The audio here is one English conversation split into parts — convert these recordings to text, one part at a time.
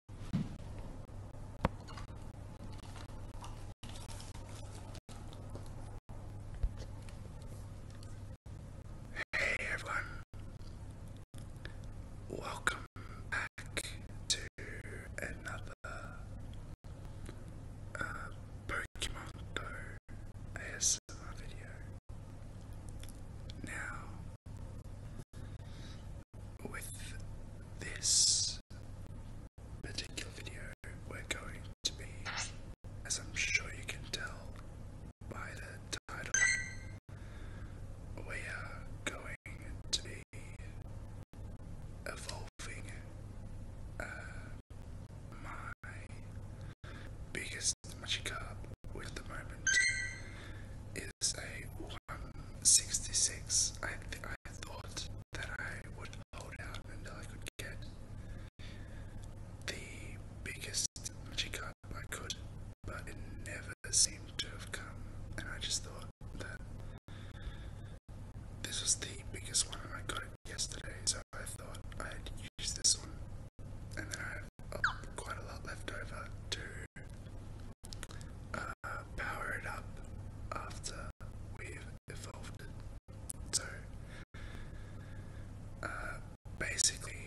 Hey everyone, welcome back to another uh, Pokemon Go ASMR video. Now, with this particular video, we're going to be, as I'm sure you can tell by the title, we are going to be evolving uh, my biggest magic card with the moment is a I'm 66. I, I thought that I would hold out until I could get the biggest chicken I could, but it never seemed to have come, and I just thought that this was the biggest one I got yesterday, so I thought I'd use this one, and then I have uh, quite a lot left over too uh, up after we've evolved So, uh, basically,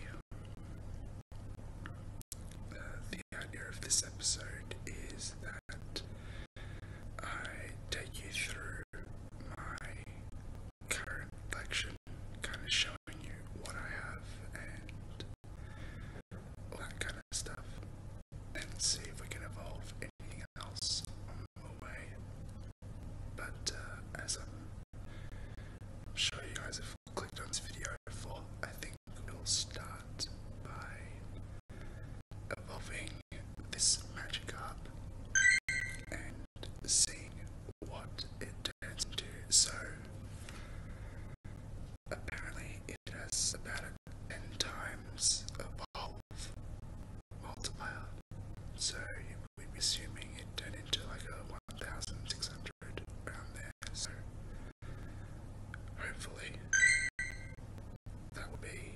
uh, the idea of this episode is that I take you through my current collection, kind of showing you what I have and that kind of stuff and see if we can evolve anything else on the way. But uh, as I'm sure you guys have clicked on this video before, I think we'll start by evolving this magic up and seeing what it turns into. So apparently it has about a and times evolve, multiplier. So we are assuming it turned into like a 1600 around there. So hopefully that would be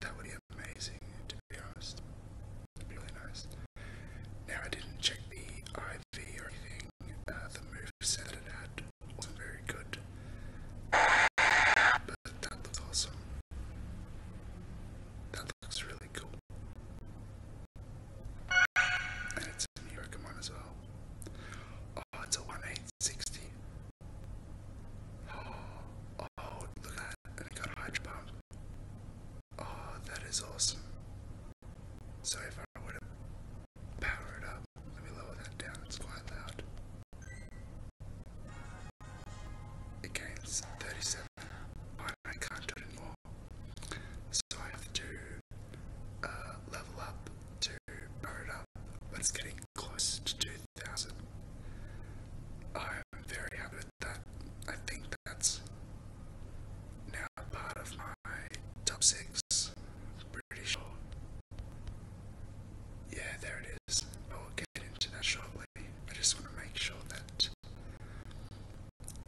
that would be amazing to be honest. really nice. Now I didn't check the IV or anything, uh, the move said it had was very good. But that looks awesome. That looks really cool. And it's a new Pokemon as well. Oh, it's a 1860. Oh, oh, look at that. And it got a Hydro Pump. Oh, that is awesome. So if I were to power it up, let me lower that down, it's quite loud. It gains 37, but I can't do it more. So I have to uh, level up to power it up, but it's getting close to 2000. I'm very happy with that. I think that's now part of my top six. Pretty sure. Yeah, there it is. I get into that I just want to make sure that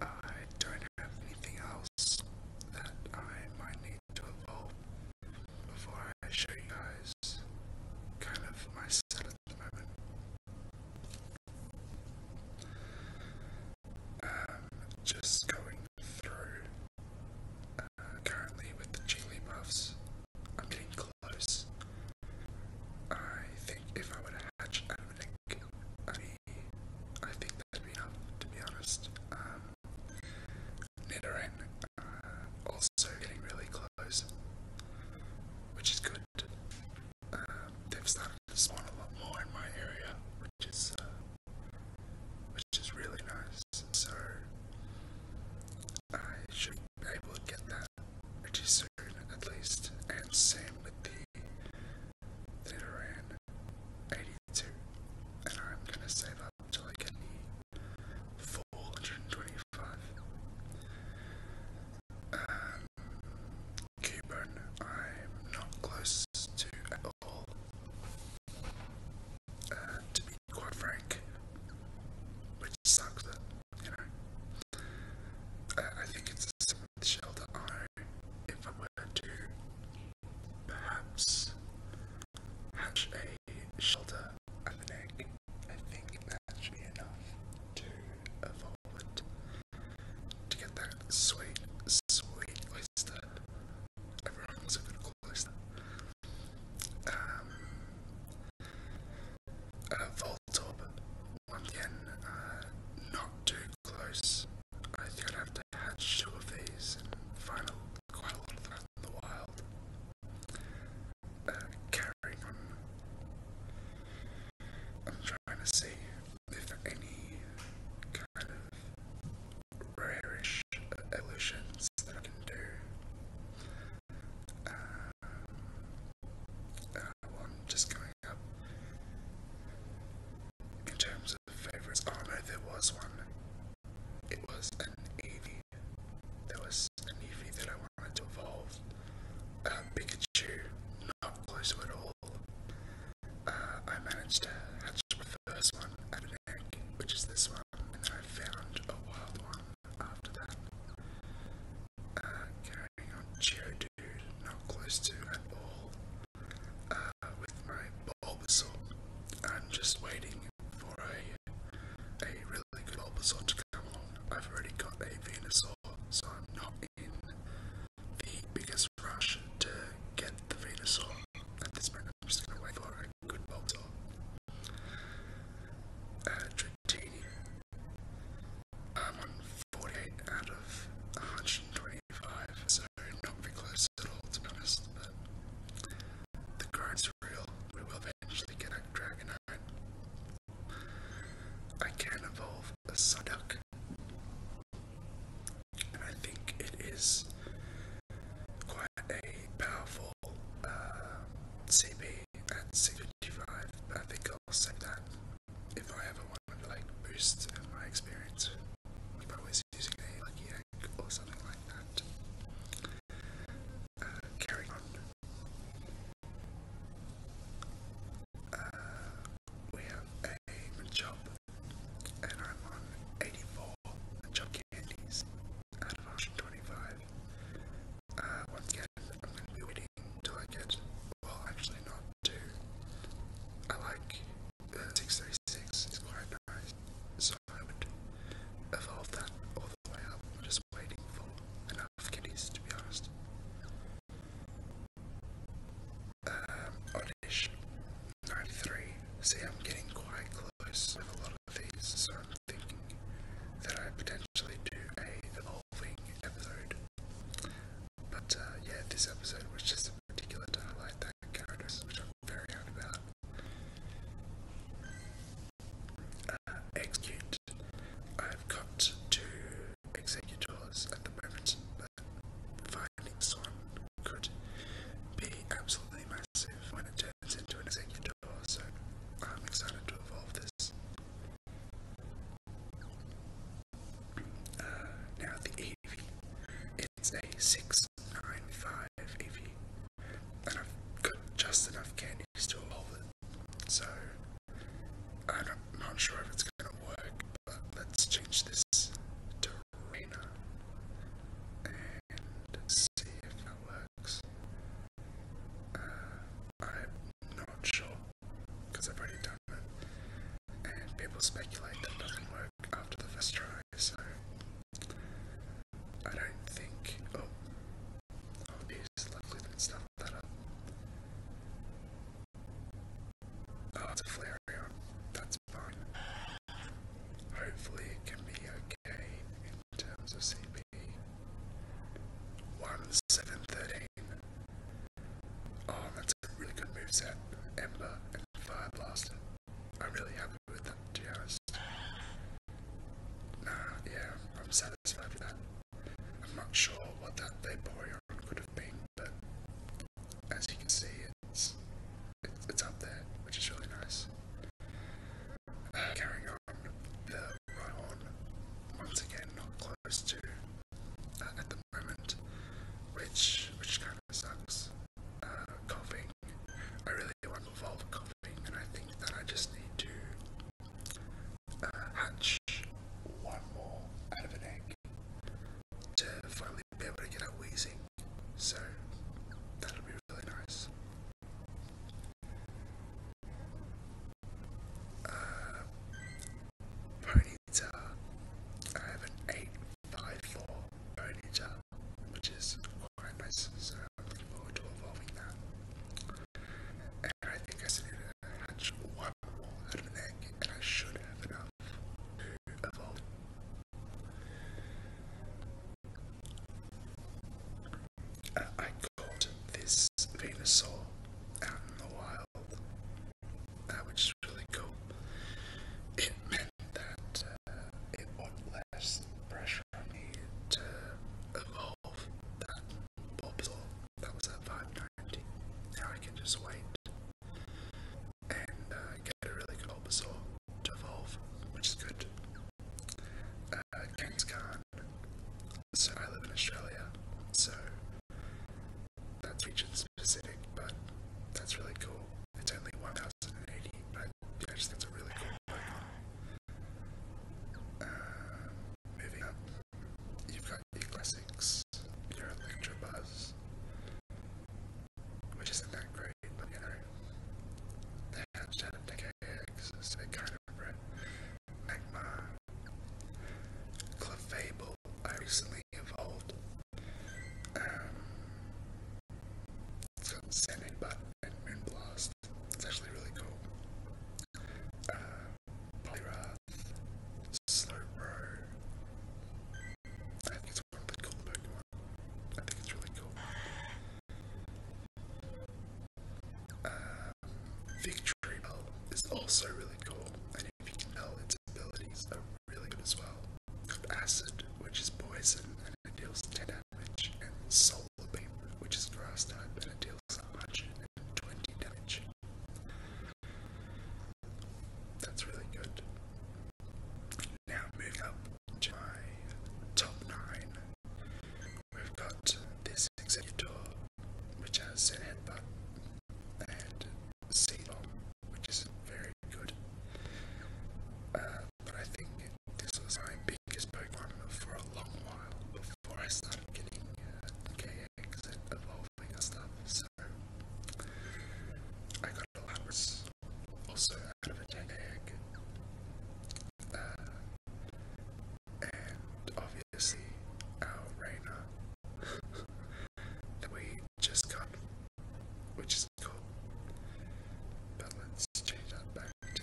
I don't have anything else that I might need to evolve before I show you guys kind of my at the moment um, just going through uh, currently with the chili buffs, I'm getting close. I think if I were to hatch out of an egg, I think that'd be enough, to be honest. Um, Nidoran uh, also getting really close, which is good. Um, they've started to spawn a lot more in my area, which is uh, which is really nice. So I should be able to get that pretty soon, at least. And same with the Nidoran 82, and I'm gonna save up until I get the 425. Um, Cubone, I'm not close to to be quite frank, which sucks you know, I, think it's a the shelter I, if I were to perhaps hatch a shelter at an egg, I think that should be enough to evolve it, to get that sweet, sweet oyster Voltorb, again, not too close. I think i have to hatch two of these and quite a lot of that in the wild. carrying um, on. I'm trying to see if there are any kind Brerish evolutions that I can do. Uh, uh just going up. In terms of favorites, oh no, there was one. It was an Eevee. There was an Eevee that I wanted to evolve. Um, Pikachu, not close to at all. Uh, I managed to hatch the first one at an egg, which is this one, and then I found a wild one after that. Uh, carrying on Geodude, not close to at all, uh, with my Bulbasaur. I'm just waiting for a, a really good Bulbasaur to come on. I've already got a Venusaur, so I'm not in the biggest rush to get the Venusaur at this point, I'm just gonna wait for a good box off. Uh, on 48 out of 125, so not very close at all, to be but the grind's real. We will eventually get a Dragonite. I can evolve a Psyduck. I think it is quite a powerful CB uh, at c but I think I'll say that if I ever want to like boost my experience. If I was using a lucky egg or something like that. Uh, on. Uh, we have a job and I'm on 84 chunky candies out of option 25. Uh, once again, I'm going to be waiting until I get, well, actually not two. I like 636, it's quite nice, so I would evolve that all the way up. just waiting for enough candies, to be honest um, Oddish, 93. See, I'm getting quite close with a lot of these, so I'm thinking that I potentially do a evolving episode. But uh, yeah, this episode was just a particular to highlight that characters, which I'm very happy about. Uh, execute. I've got two executors at the moment, that findings one could be absolutely massive when it turns into an executor, so I'm excited to evolve this. Uh, now the Eevee. It's a 695 Eevee, and I've got just enough candy to evolve it, so I'm not, not sure if it's going to work, but let's change this to and see if it works. Uh, I'm not sure because I've already done it, and people speculate that it doesn't work after the first try, so I don't think. Oh, obviously, luckily, didn't stuff that Oh, it's a Flareon. Hopefully, it can be okay in terms of CP. 1713. Oh, that's a really good moveset. Ember and Fire Blaster. I'm really happy with that, to be Nah, yeah, I'm satisfied with that. I'm not sure what that Vaporeon could have been, but as you can see, it's it's, up there, which is really nice. carrying on, right horn, once again, not close to uh, at the moment, which which kind of sucks. Uh, coughing, I really want to evolve coughing, and I think that I just need to uh, hatch one more out of an egg to finally be able to get up wheezing. So that'll be really nice. Uh, Ponyta. I have an 854 Ponyta, which is quite nice, so I'm looking forward to evolving that. And I think I still need one more of an egg, and I should have enough to evolve I caught this Venusaur in the wild, uh, which really cool. It meant that uh, it would less pressure on me to evolve that Bulbasaur that was at 590. Now I can just wait and uh, get a really good Bulbasaur evolve, which is good. Uh, so I live in Australia, so that's region specific, but that's really cool. It's only 1080, but yeah, I just think it's a really cool Pokemon. Uh, moving up, you've got your classics, your Electrobuzz, which isn't that great, but you know, they hatched decay eggs, so kind of bred magma. Clefable, I recently evolved. Um, it Butt and Moonblast. It's actually really cool. Uh, Polyrath, Slowbro, I think it's really cool. Um, is also really cool, and if you can tell, its abilities are really good as well. Acid, which is poison, and it deals 10 damage, and Solar Beam, which is grass type, and it deals twenty damage. That's really good. Now move up my top nine. We've got this executor, which has Zen Headbutt, and C which is very good. Uh, but I think this was my biggest Pokemon for a long while before I started getting uh, KX and evolving and stuff. So I got also out of a dead and obviously, our Raina that we just got, which is cool. But let's change that back to 80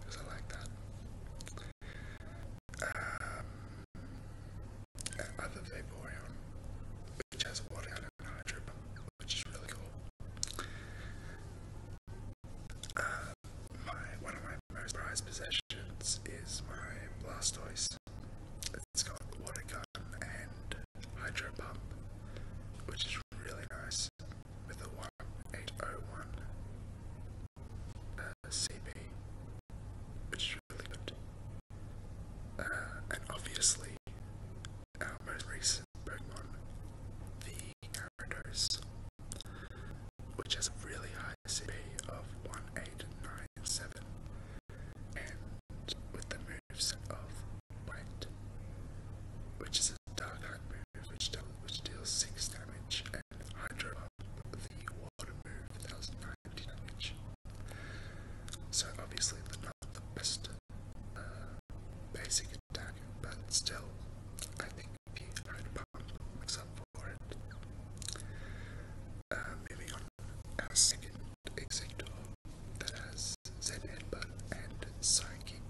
because I like that. Um, and other Vaporeon, which has water on a which is really cool. my one of my most prized possessions is my Blastoise. It's got water gun and hydro pump, which is really nice with a 1801 uh, CB, which is really good. Uh, and obviously, our most recent Pokemon, the Gyarados, which has a really high CP of 1897, and with the moves of Light, which is a Dark Heart move which, deals 6 damage, and Hydro Pump, the Water move, that was 90 damage. So obviously they're not the best basic attack, but still, I think he had pump myself for it. Uh, on, our second executor that has Zen Headbutt and Psychic.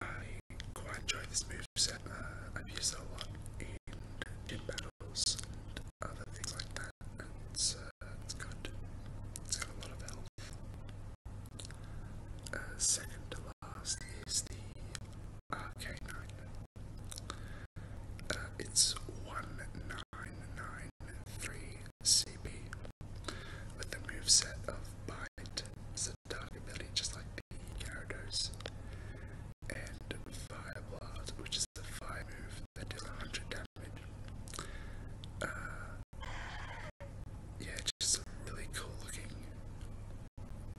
I quite enjoy this move set. Uh, I've used a lot in Jin Battle other things like that. And uh, it's, good. It's got a lot of health. Uh, second to last is the RK9. Uh, it's 1993CP with the moveset of Bite. It's a dark ability just like the characters and Fire Blast, which is the five move that does 100 damage. Uh, yeah, just some really cool looking.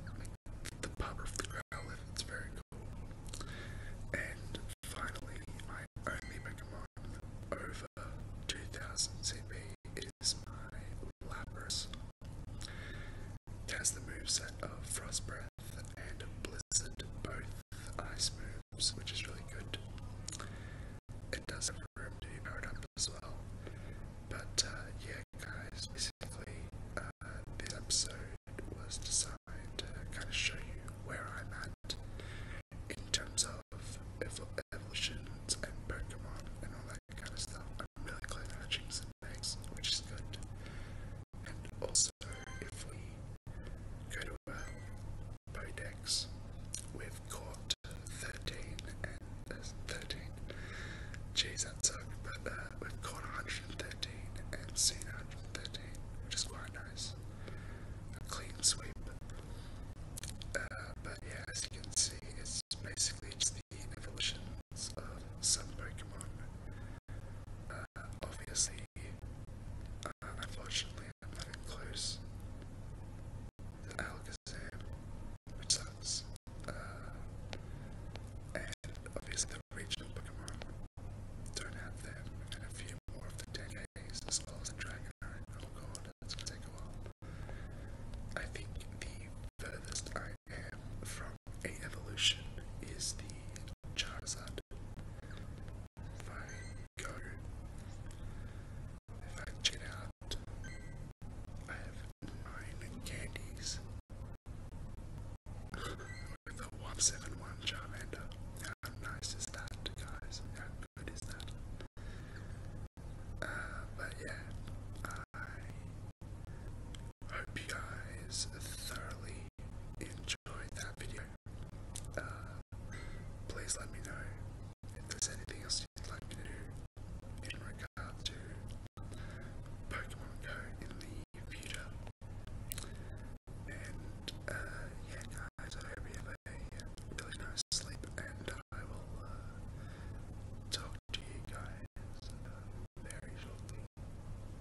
Like the pub of the Growlithe, it's very cool. And finally, my only Pokemon over 2000 CP is my Lapras. It has the moveset of Frost Breath and Blizzard, both ice moves, which is really good. It does have room to be powered up as well. But uh, yeah, guys, basically, uh, this episode was designed to kind of show you where I'm at in terms of ev evolutions and Pokemon and all that kind of stuff. I'm really close to Jinx and X, which is good. And also, if we go to uh, Podex, we've caught 13 and uh, 13. Jeez, that sucked, but we've caught 113 and seen 113, which is quite nice. A clean sweep. Uh, but yeah, as you can see, it's basically just the evolutions of some Pokemon. Uh, obviously, unfortunately, I'm not in close which uh, sucks. and obviously, the regional Pokemon don't have them, and a few more of the 10Ks, as well as the Dragonite. Oh god, that's gonna take a while. I think the furthest I am from a evolution is the Charizard, Fire Go. If out, I have nine candies. With a 171 Charmander. How nice is that, guys? How that? Uh, but yeah, I hope you guys thoroughly enjoyed enjoyed that video. Uh, please let me know if there's anything else you'd like to do in regard to Pokemon Go in the future. And uh, yeah, guys, I hope you have a really nice sleep, and I will uh, talk to you guys very shortly.